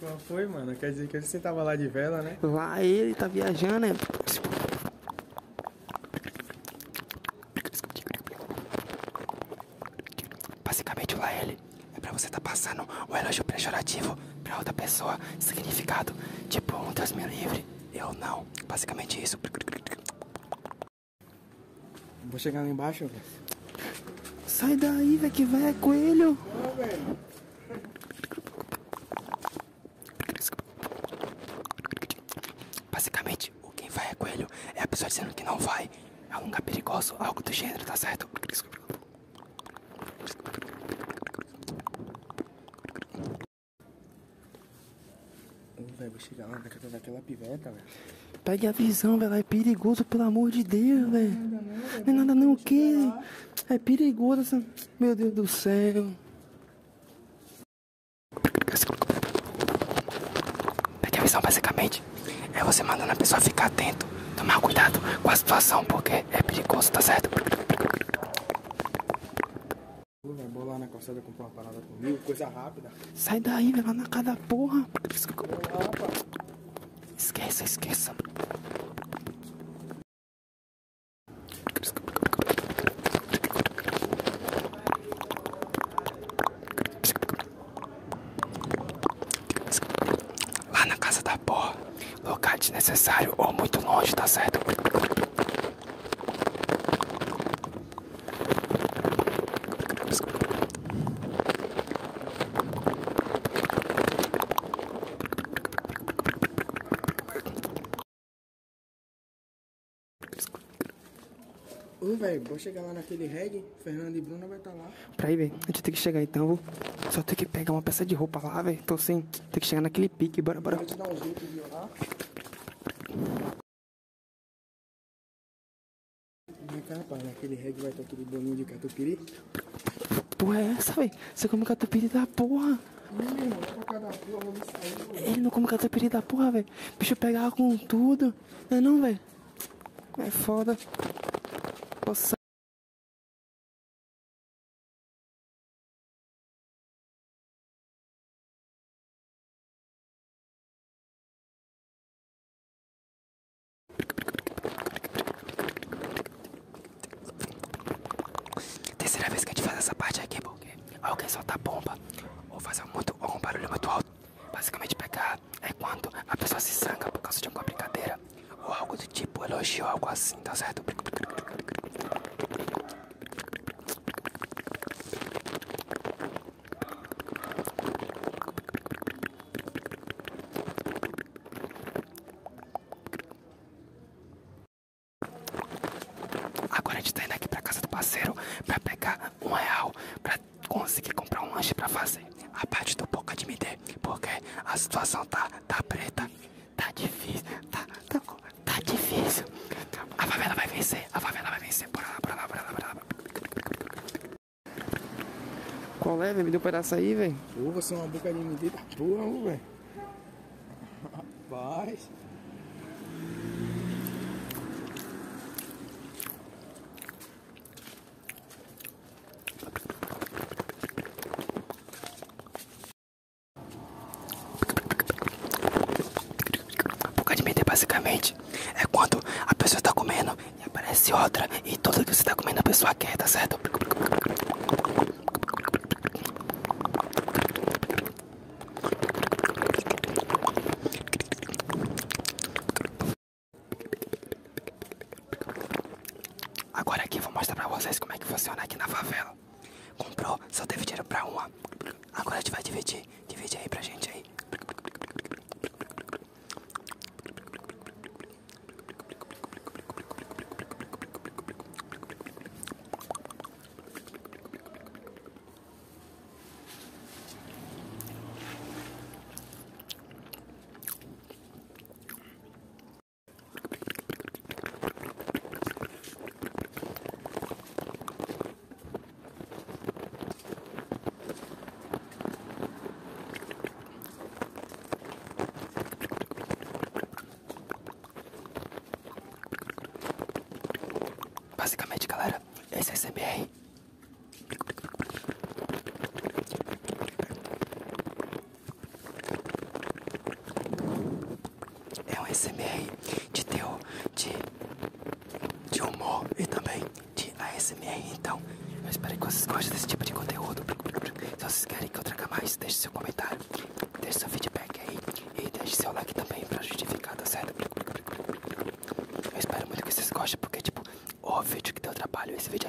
Qual foi, mano? Quer dizer que você estava lá de vela, né? Vai, ele tá viajando, né? Basicamente lá ele. É pra você tá passando um elogio pejorativo pra outra pessoa, significado. Tipo, um Deus me livre, eu não. Basicamente isso. Vou chegar lá embaixo, Sai daí, velho, que vai é coelho. Basicamente, o quem vai é coelho é a pessoa dizendo que não vai. É um lugar perigoso, algo do gênero, tá certo? Pega a visão, velho. É perigoso, pelo amor de Deus, velho. Não é nada não, o é quê? É perigoso Meu Deus do céu. Pega a visão, basicamente. É você mandando a pessoa ficar atento, tomar cuidado com a situação, porque é, perigoso, tá certo? Vai bolar na calçada comprar uma parada comigo, coisa rápida. Sai daí, vai lá na casa da porra. Esqueça, esqueça. Lá na casa da porra. Locar necessário ou muito longe, tá certo? Ô, velho, bom chegar lá naquele reg, Fernando e Bruna vai estar tá lá pra ir, velho. A gente tem que chegar então. Vou só tem que pegar uma peça de roupa lá, velho. Tô então, sem. Tem que chegar naquele pique. Bora, bora. Pode dar um jeito de lá. Vem cá, rapaz. Naquele reggae vai ter tá aquele bolinho de catupiry. Porra, é essa, velho? Você come catupiry da porra. Ele não come catupiry da porra, velho. Bicho pegar com tudo. Não é não, velho? É foda. Posso Terceira vez que a gente faz essa parte aqui, porque alguém soltar bomba ou fazer muito, algum barulho muito alto. Basicamente pegar é quando a pessoa se sangra por causa de alguma brincadeira. Ou algo do tipo, elogio, algo assim, tá certo? Agora a gente tá indo aqui pra casa do parceiro pra pegar um real pra conseguir comprar um lanche pra fazer. A parte do pouco admitir, porque a situação tá, tá preta tá, difícil, tá, tá, tá difícil. A favela vai vencer, a favela vai vencer. por lá, por lá, por lá, por lá. Qual é, velho? Me deu um pedaço aí, velho. Pô, você é uma boca de medida porra, velho. Rapaz. Boca de meter basicamente é quando a pessoa está comendo e aparece outra e toda vez que você tá comendo a pessoa quer, tá certo? Agora aqui vou mostrar pra vocês como é que funciona aqui na favela. Comprou, só teve dinheiro pra uma. Agora a gente vai dividir. dividir aí pra gente aí. Basicamente, galera, esse é CBR. É um SMR de teu de, de humor e também de ASMR. Então, eu espero que vocês gostem desse tipo de conteúdo. Se vocês querem que eu traga mais, deixe seu comentário, deixe seu feedback aí e deixe seu like também pra justificar, tá certo? Eu espero muito que vocês gostem, porque tipo, o vídeo que deu trabalho, esse vídeo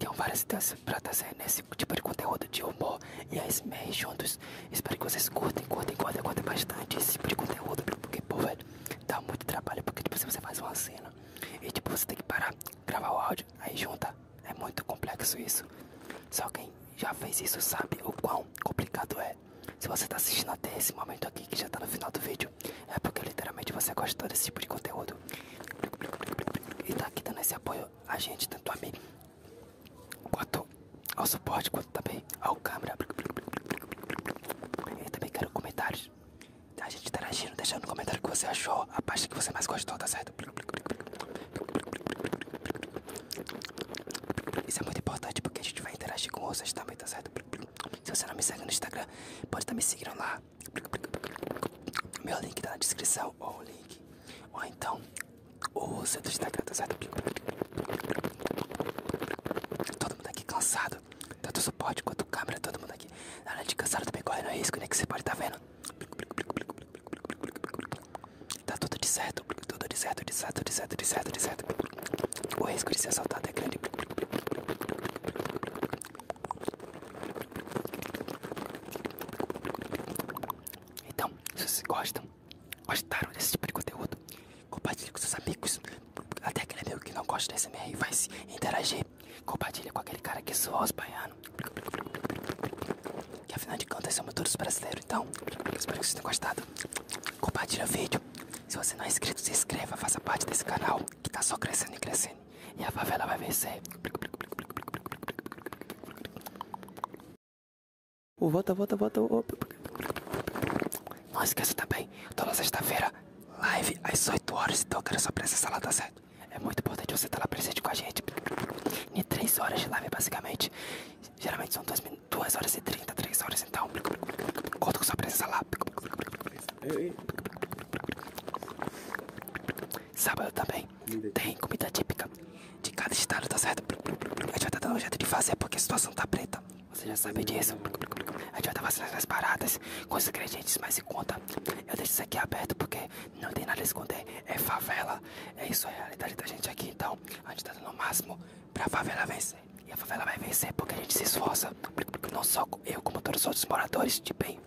Então várias ideias vocês pra trazer esse tipo de conteúdo de humor e a SMR juntos. Espero que vocês curtem, curtem, curtem, curtem bastante esse tipo de conteúdo, porque, pô, velho, dá muito trabalho, porque, tipo, se você faz uma cena e, tipo, você tem que parar, gravar o áudio, aí junta. É muito complexo isso. Só quem já fez isso sabe o quão complicado é. Se você tá assistindo até esse momento aqui, que já tá no final do vídeo, é porque literalmente você gosta desse tipo de conteúdo. E tá aqui dando esse apoio a gente, tanto a mim quanto ao suporte, quanto também ao câmera. E também quero comentários. A gente interagindo, deixando no comentário que você achou, a parte que você mais gostou, tá certo? Isso é muito importante porque a gente vai interagir com vocês também, tá certo? Se você não me segue no Instagram, pode estar me seguindo lá. Meu link está na descrição, ou link. Ou então, o centro tá do Instagram, tá certo? Todo mundo aqui cansado. Tanto suporte quanto câmera, todo mundo aqui. Na hora de cansado também correndo risco, né? Que você pode tá vendo. Tá tudo de certo, tudo de certo, de certo, de certo. O risco de ser assaltado é grande. Então, se vocês gostam, gostaram desse tipo de conteúdo, compartilhe com seus amigos. Até aquele meu que não gosta desse MR vai se interagir. Compartilha com aquele cara que zoa os baiano Que afinal de contas somos todos brasileiros. Então, espero que vocês tenham gostado. Compartilha o vídeo. Se você não é inscrito, se inscreva, faça parte desse canal que tá só crescendo e crescendo. E a favela vai vencer. Oh, volta, volta, volta. Não esqueça também, toda sexta-feira, live às 8 horas. Então eu quero sua presença lá, tá certo? É muito importante você estar lá presente com a gente. Em 3 horas de live, basicamente. Geralmente são 2, 2 horas e 30, 3 horas. Então, conto com sua presença lá. Sábado também tem comida típica de cada estado, tá certo? A gente vai estar dando um jeito de fazer porque a situação tá preta. Você já sabe hum. disso. A gente vai estar fazendo as paradas com os ingredientes mais em conta. Eu deixo isso aqui aberto porque não tem nada a esconder. É favela. É isso, é a realidade da gente aqui. Então, a gente está dando o máximo pra favela vencer. E a favela vai vencer porque a gente se esforça. Não só eu, como todos os outros moradores de bem.